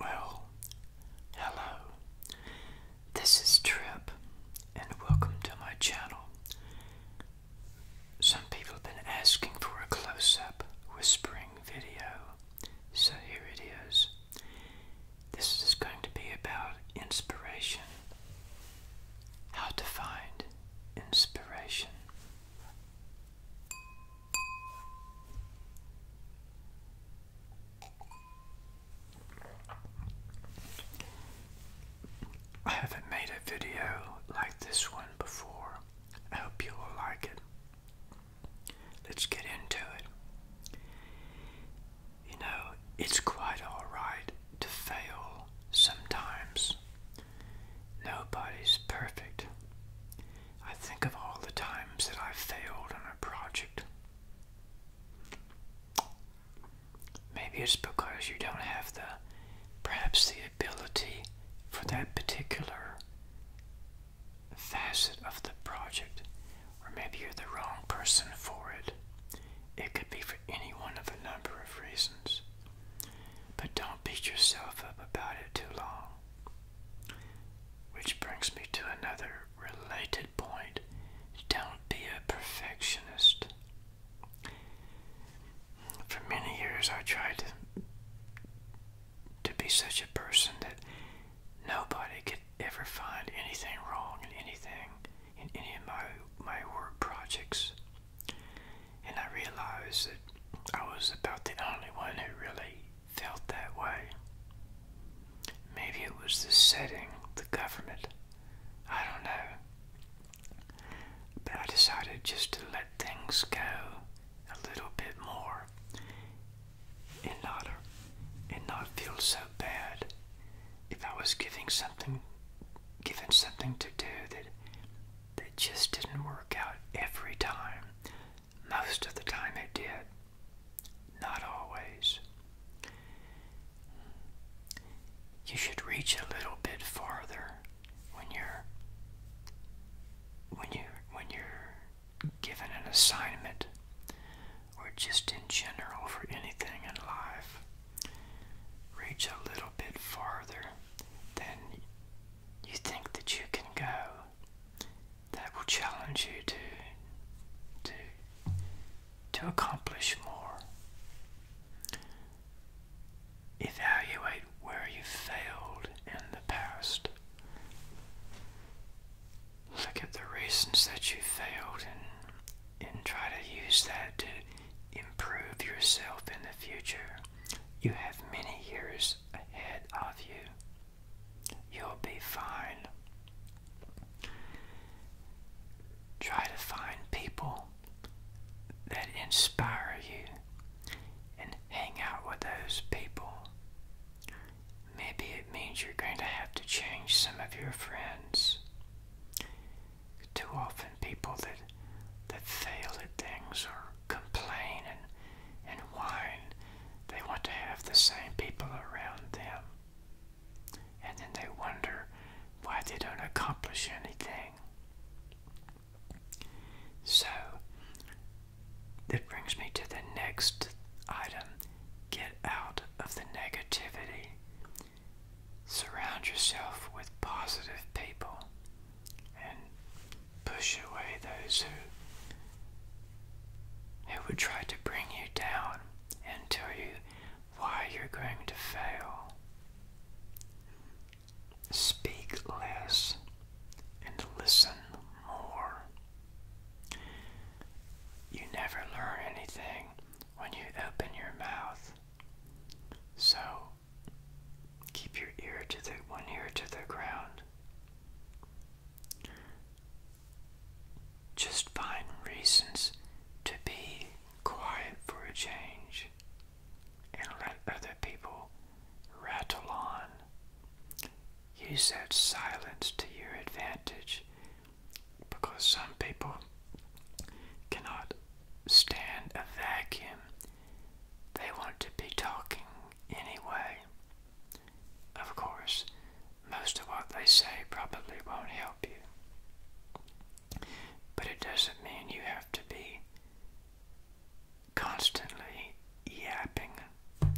Well, hello. This is Trip, and welcome to my channel. Some people have been asking for a close up whispering video, so here it is. This is going to be about inspiration. How to find inspiration. I haven't made a video like this one before. I hope you will like it. Let's get into it. You know, it's quite alright to fail sometimes. Nobody's perfect. I think of all the times that I failed on a project. Maybe it's because you don't have the, perhaps the ability for that particular facet of the project, or maybe you're the wrong person for it. It could be for any one of a number of reasons. But don't beat yourself up about it too long. Which brings me to another related point don't be a perfectionist. For many years, I tried to, to be such a person that nobody could ever find anything wrong in anything in any of my my work projects. And I realized that I was about the only one who really felt that way. Maybe it was the setting, the government, I don't know. But I decided just to let things go a little bit more and not, and not feel so bad if I was giving something given something to do that that just didn't work out every time. Most of the time it did, not always. You should reach a little bit farther when you're when you when you're given an assignment or just in general for anything in life. Reach a little bit farther than you think that you can go that will challenge you to to to accomplish more. Evaluate where you failed in the past. Look at the reasons that you failed and and try to use that to improve yourself in the future. You have many years ahead of you. You'll be fine. Try to find people that inspire you and hang out with those people. Maybe it means you're going to have to change some of your friends too often people that that fail at things or complain and and whine, they want to have the same people around them. And then they wonder why they don't accomplish anything. So that brings me to the next item. Get out of the negativity. Surround yourself with positive people and push away those who, who would try to bring you down and tell you why you're going to fail. Speak less and listen more. You never learn anything when you open your mouth. So Keep your ear to the one ear to the ground. Just find reasons to be quiet for a change and let other people rattle on. Use that silence to your advantage because some people cannot stand a vacuum. They want to be talking anyway. Of course, most of what they say probably won't help you. But it doesn't mean you have to be constantly yapping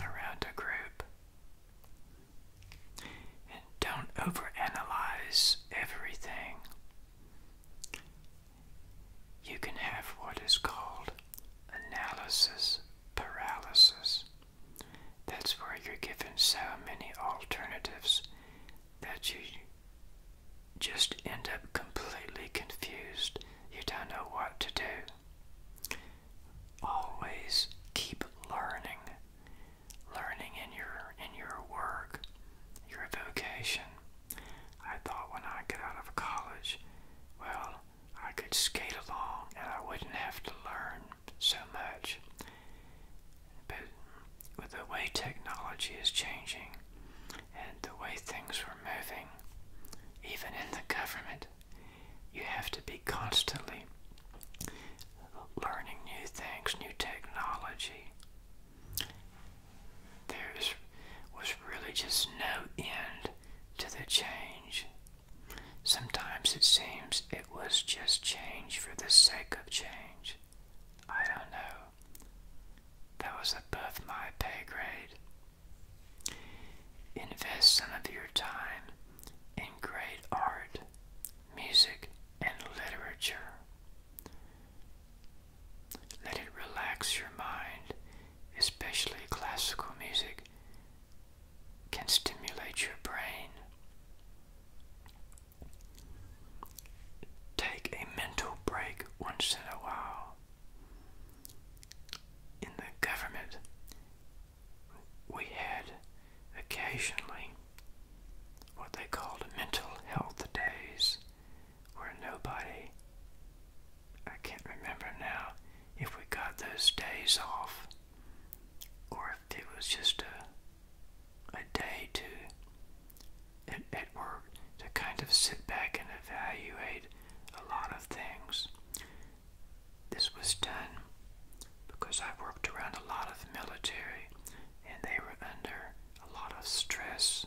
around a group. And don't overanalyze everything you can have what is called analysis paralysis. That's where you're given so many alternatives that you just end up completely confused. You don't know what to do. Always keep learning learning in your in your work, your vocation. I thought when I got out of college, well, I could skate along and I wouldn't have to learn so much. But with the way technology is changing and the way things were moving, even in the government, you have to be constantly learning new things, new technology, there was really just no end to the change. Sometimes it seems it was just change for the sake of change. I don't know. That was above my pay grade. Invest some of your time in great art, music, and literature. Let it relax your mind, especially classical music can stimulate your brain. Take a mental break once in a while. In the government, we had occasionally what they called mental health days where nobody, I can't remember now if we got those days off or if it was just a, a day to at, work to kind of sit back and evaluate a lot of things. This was done because I worked around a lot of military and they were under a lot of stress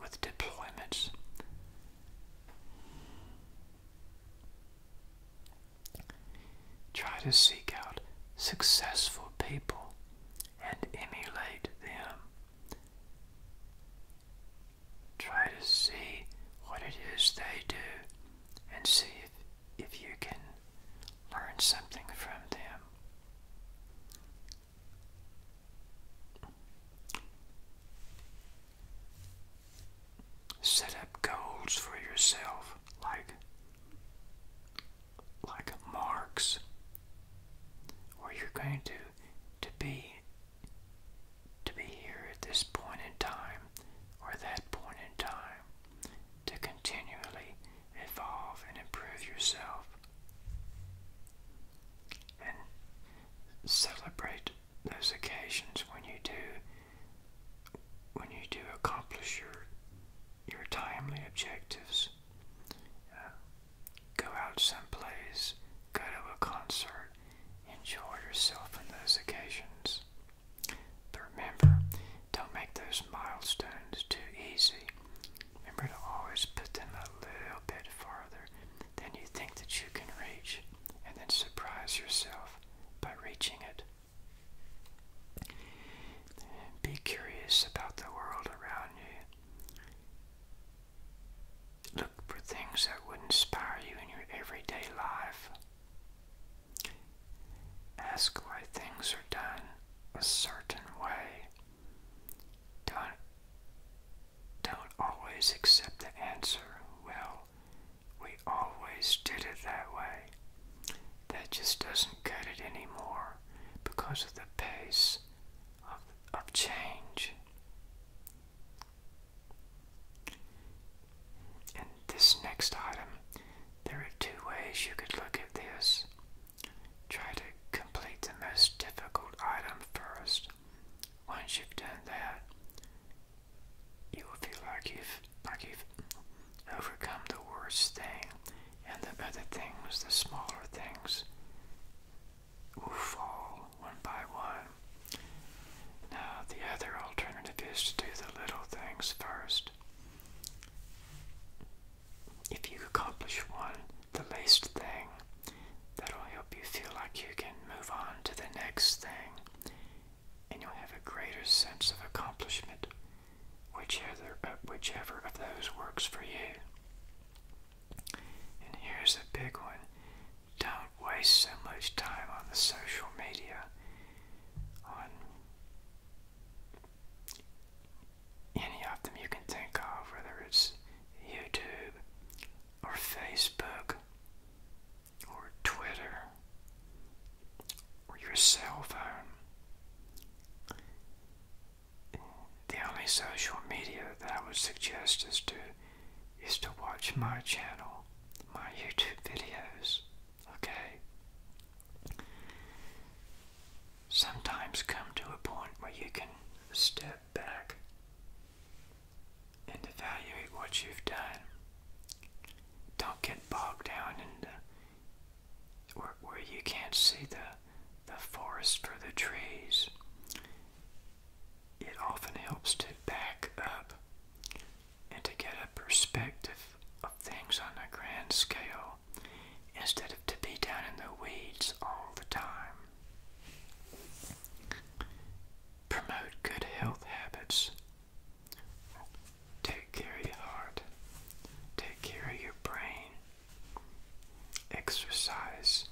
with deployments. Try to seek out successful people and emulate them. Try to see what it is they do and see if, if you can learn something from them. Set up goals for yourself like like marks where you're going to to be to be here at this point in time or that point in time to continually evolve, and improve yourself. And celebrate those occasions when you do when you do accomplish your your timely objectives. Uh, go out someplace, go to a concert, enjoy yourself on those occasions. But remember, don't make those milestones too easy. Remember to always put them a little bit farther than you think that you can reach, and then surprise yourself by reaching it. Be curious about the world around you. Look for things that would inspire you in your everyday life. Ask why things are done a certain way. Don't, don't always accept the answer, well, we always did it that way. That just doesn't cut it anymore because of the pace of, of change. In this next item, there are two ways you could look at this. Try to complete the most difficult item first. Once you've done that, you will feel like you've overcome the worst thing, and the other things, the smaller things, will fall one by one. Now, the other alternative is to do the little things first. If you accomplish one, the least thing, that'll help you feel like you can move on to the next thing, and you'll have a greater sense of accomplishment, whichever, uh, whichever of those works for you. And here's a big one don't waste so much time on the social media on any of them you can think of, whether it's YouTube or Facebook or Twitter or your cell phone. The only social media that I would suggest is to is to watch my channel, my YouTube videos. Okay? Sometimes come to a point where you can step back and evaluate what you've done. Don't get bogged down in the, where, where you can't see the, the forest for the trees. It often helps to back up and to get a perspective of things on a grand scale instead of to be down in the weeds all the time. Promote good health habits. Take care of your heart. Take care of your brain. Exercise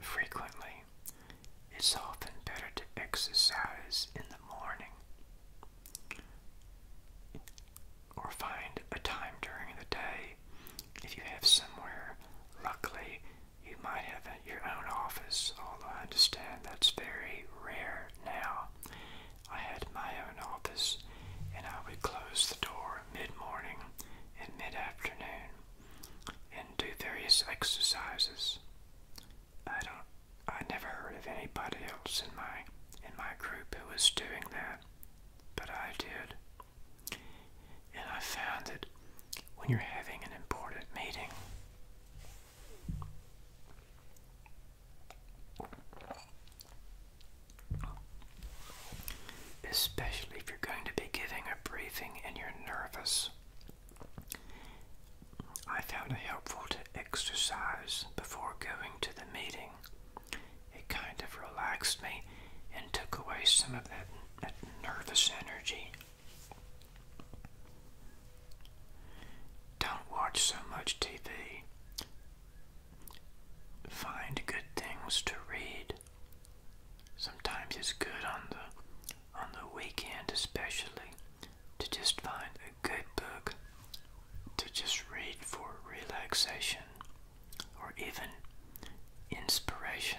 frequently. It's often better to exercise in the morning or find a time during the day if you have somewhere. Luckily, you might have your own office, although I understand that's very rare now. I had my own office, and I would close the door mid morning and mid afternoon and do various exercises. I don't I never heard of anybody else in my in my group who was doing that, but I did. And I found it when you're having an important meeting, especially if you're going to be giving a briefing and you're nervous, I found it helpful to exercise before going to the meeting. It kind of relaxed me and took away some of that, nervous energy. Don't watch so much TV. Find good things to read. Sometimes it's good on the on the weekend especially, to just find a good book to just read for relaxation or even inspiration.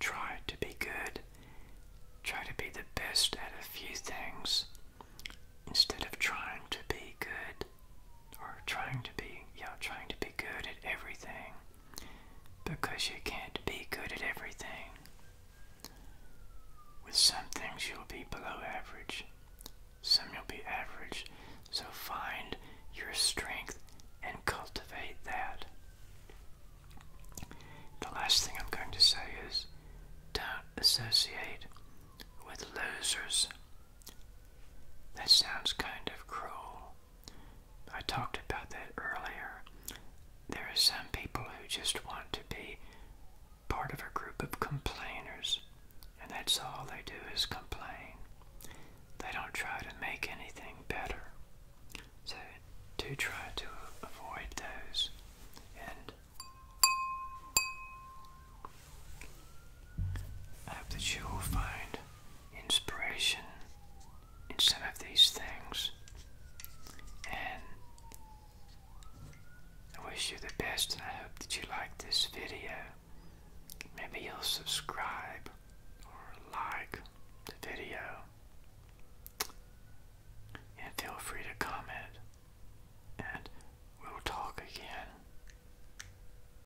Try to be good. Try to be the best at a few things instead of trying to be good or trying to be, you trying to be good at everything because you can't be good at everything. With some things you'll be below average, some you'll be average, so find your strength and cultivate that. The last thing I'm going to say is don't associate with losers. That sounds kind of cruel, I talked about that earlier. There are some people who just want to be part of a group of complainers, and that's all they do is complain. They don't try to make anything better. So do try to avoid those. And I hope that you will find inspiration in some of these things. And I wish you the best and I hope that you like this video. Maybe you'll subscribe or like the video. And feel free to comment. And we'll talk again.